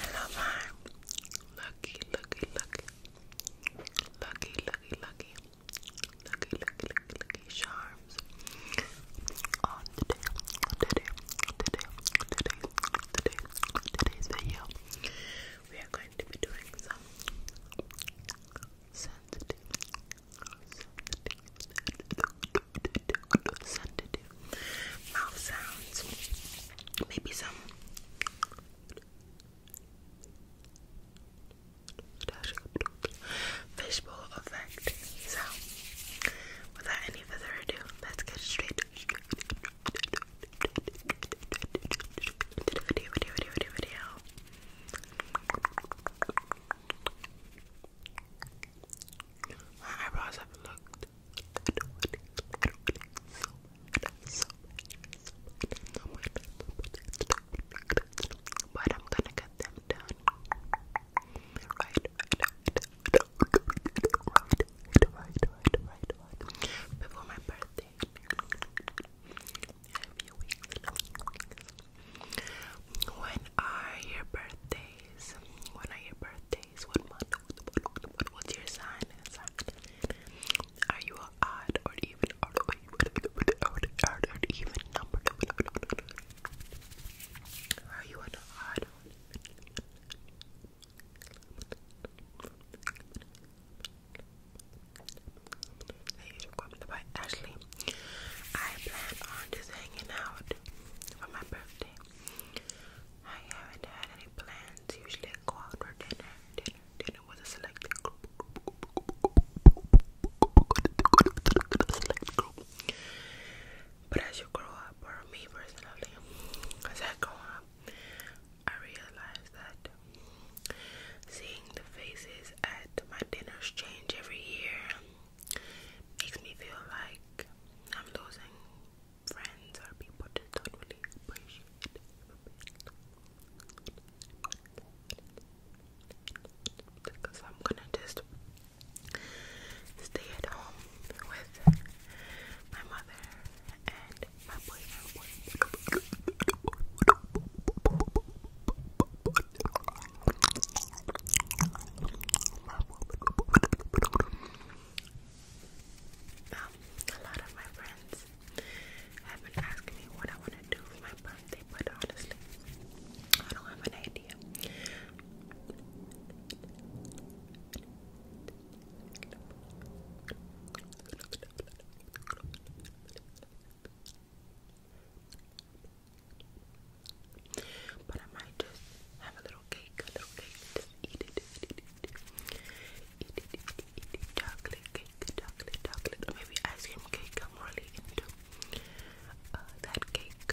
Hello, my lucky, lucky, lucky, lucky, lucky, lucky, lucky charms. On today, today, today, today, today, today's video, we are going going to doing some sensitive, sensitive, sensitive mouth sounds. Maybe some fishbowl effect. So, without any further ado, let's get straight. I do I don't But I'm gonna get them done. right, right, right, right, right. Before my birthday happy When are your birthdays? When are your birthdays? What month? What's your sign? Are you an odd or even odd or even number? Are you an odd that is requirement by Ashley. I plan on just hanging out for my birthday. I haven't had any plans. Usually I go for dinner. Dinner, dinner with a selected group. But as you grow up, or me personally, as I grow up, I realized that seeing the faces at my dinners change every year makes me feel like I'm losing friends or people that don't really appreciate it. Because I'm gonna just stay at home with my mother and boy, boy. Um, a lot of my friends have been asking me what I want to do for my birthday, but honestly, I don't have an idea. But I might just have a little cake, a little cake, just eat it. Eat it, eat it, eat it, Chocolate cake, chocolate, chocolate, maybe ice cream cake. I'm really into that cake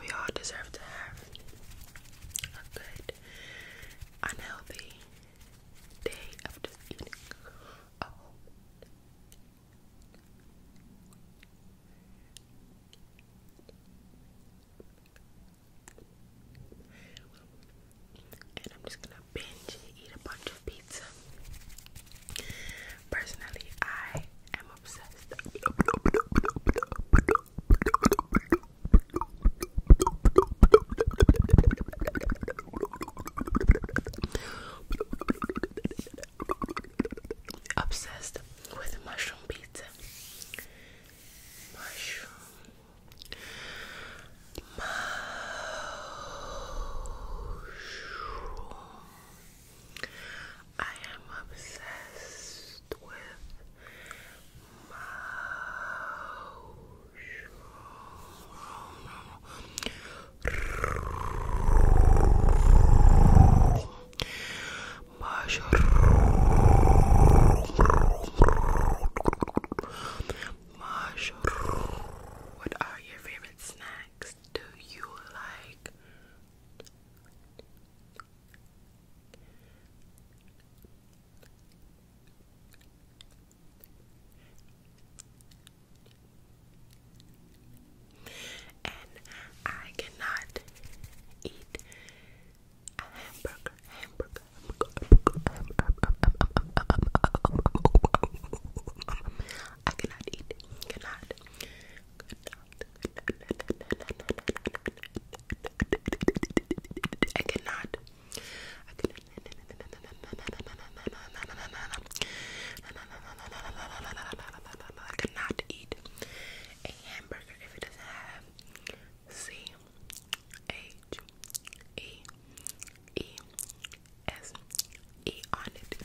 we all deserve to have a good, unhealthy day after just eating. Oh. And I'm just gonna binge eat a bunch of pizza. Personally, I am obsessed. Obsessed with mushroom pizza. Mushroom. I am obsessed with what are your favorite snacks? Do you like? And I cannot eat hamburger, I cannot eat, cannot, cannot, cannot, I cannot eat a hamburger if it doesn't have C H E E S E on it.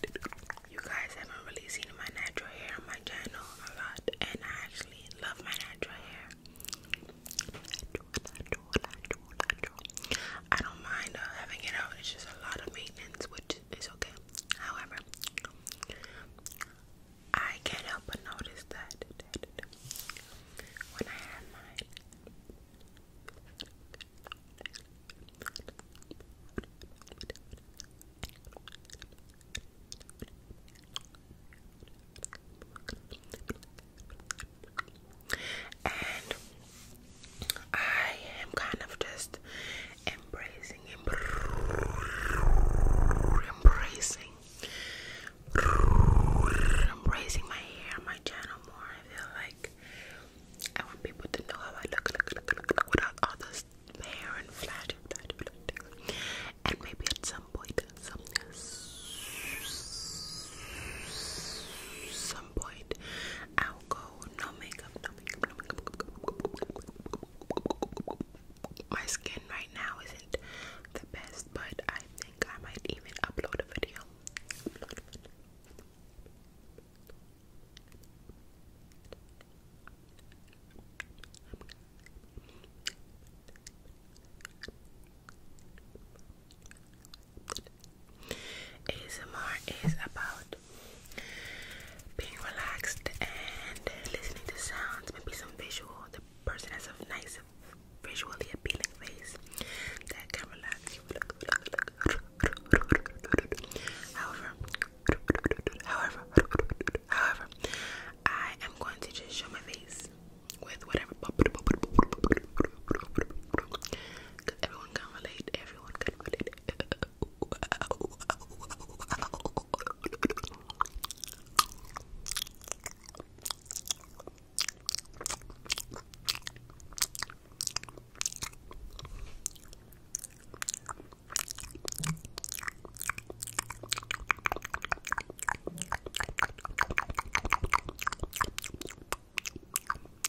You guys haven't really seen my natural hair on my channel a lot, and I actually love my natural hair drawer, like drawer, like drawer. I don't mind uh, having it out. It's just a lot of maintenance, which is okay. However, I can't help but notice that when I had mine and I am kind of just embracing, embracing, embracing my hair, my channel more. I feel like I want people to know how I look, look, look, look, look without all this hair and flash, and maybe at some point, some some point, I now go no makeup, no makeup, no makeup. My skin right now isn't the best, but I think I might even Upload a video. ASMR is about being relaxed and listening to sounds, maybe some visual. The person has a nice, visually appealing face that can relax you. However, however, however, I am going to just show my face with whatever Cause everyone can relate. Everyone can relate.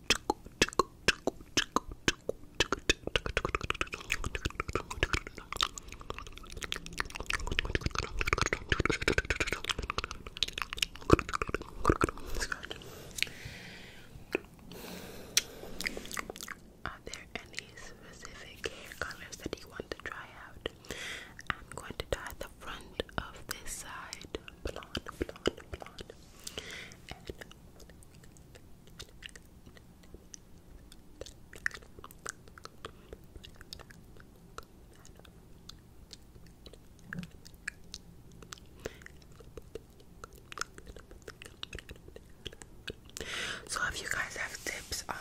Are there any specific hair colors that you want to try out? I'm going to dye the front of this side blonde, blonde, blonde, so if you guys have tips on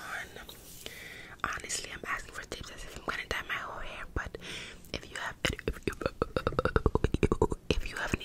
honestly I'm asking for tips as if I'm gonna dye my whole hair but if you have if you have any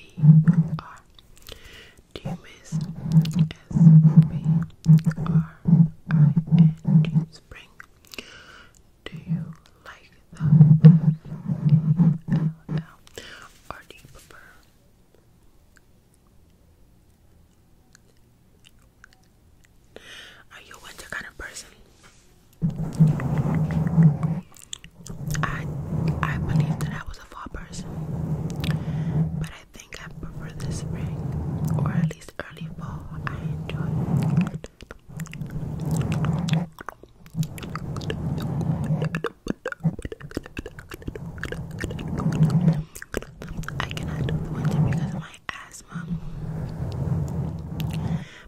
E R. Do you miss S P R I N G Do you like the F A L L or do you prefer? Are you winter kind of person? I I believe that I was a fall person, but I think I prefer the spring or at least early fall. I enjoy I cannot do the winter because of my asthma.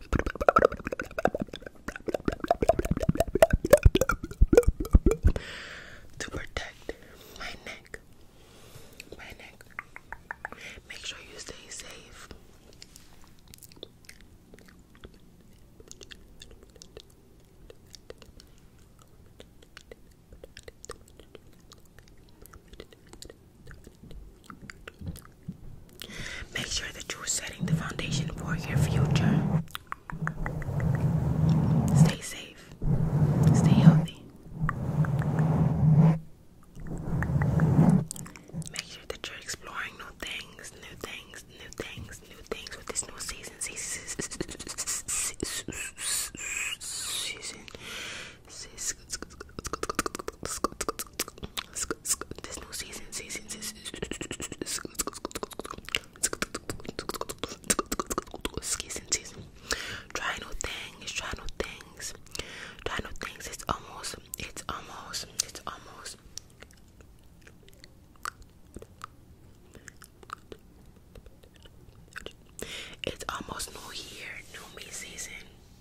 to protect my neck. My neck. Make sure you stay safe. Make sure that you're setting the foundation for your future. Stay safe. Stay healthy. Make sure that you're exploring new things, new things, new things, new things with this new season this new season, season, season. Try new things, try new things, try new things. It's almost, it's almost, it's almost. It's almost new year, new me season.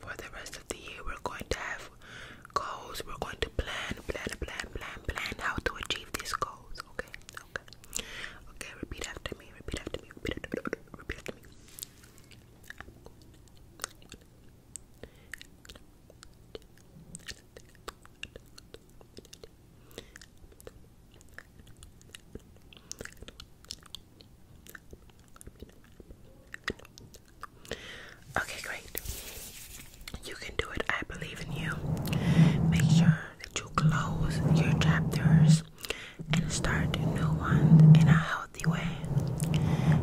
for the rest of the year. We're going to have goals. We're going to plan, plan, plan, plan, plan how to achieve these goals. Okay, okay, okay. Repeat after me. Repeat after me. Repeat after me. Okay, great. You can do it. I believe in you. Make sure that you close your chapters and start new ones in a healthy way.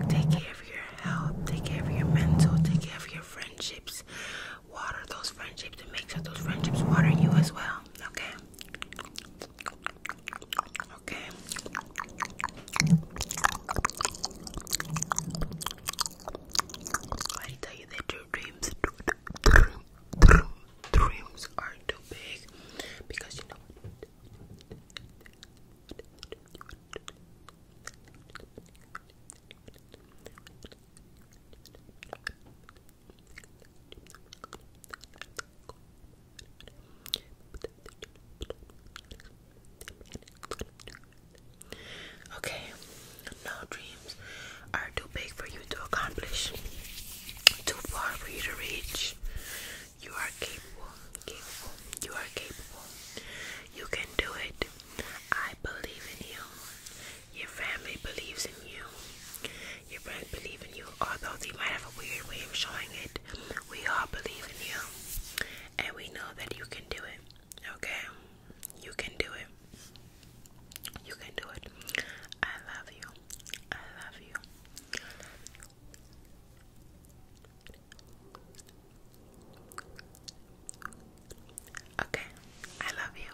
Take care of your health, take care of your mental, take care of your friendships. Water those friendships and make sure those friendships water you as well. Okay? Okay. I tell you that your dreams, dreams are too big because you know. Okay, no dreams are too big for you to accomplish, too far for you to reach. You are capable, capable, you are capable. You can do it. I believe in you. Your family believes in you. Your friends believe in you, although they might have a weird way of showing it. We all believe in you. And we know that you can do it. Okay? You can do it. You can do it. I love you. I love you. Okay, I love you.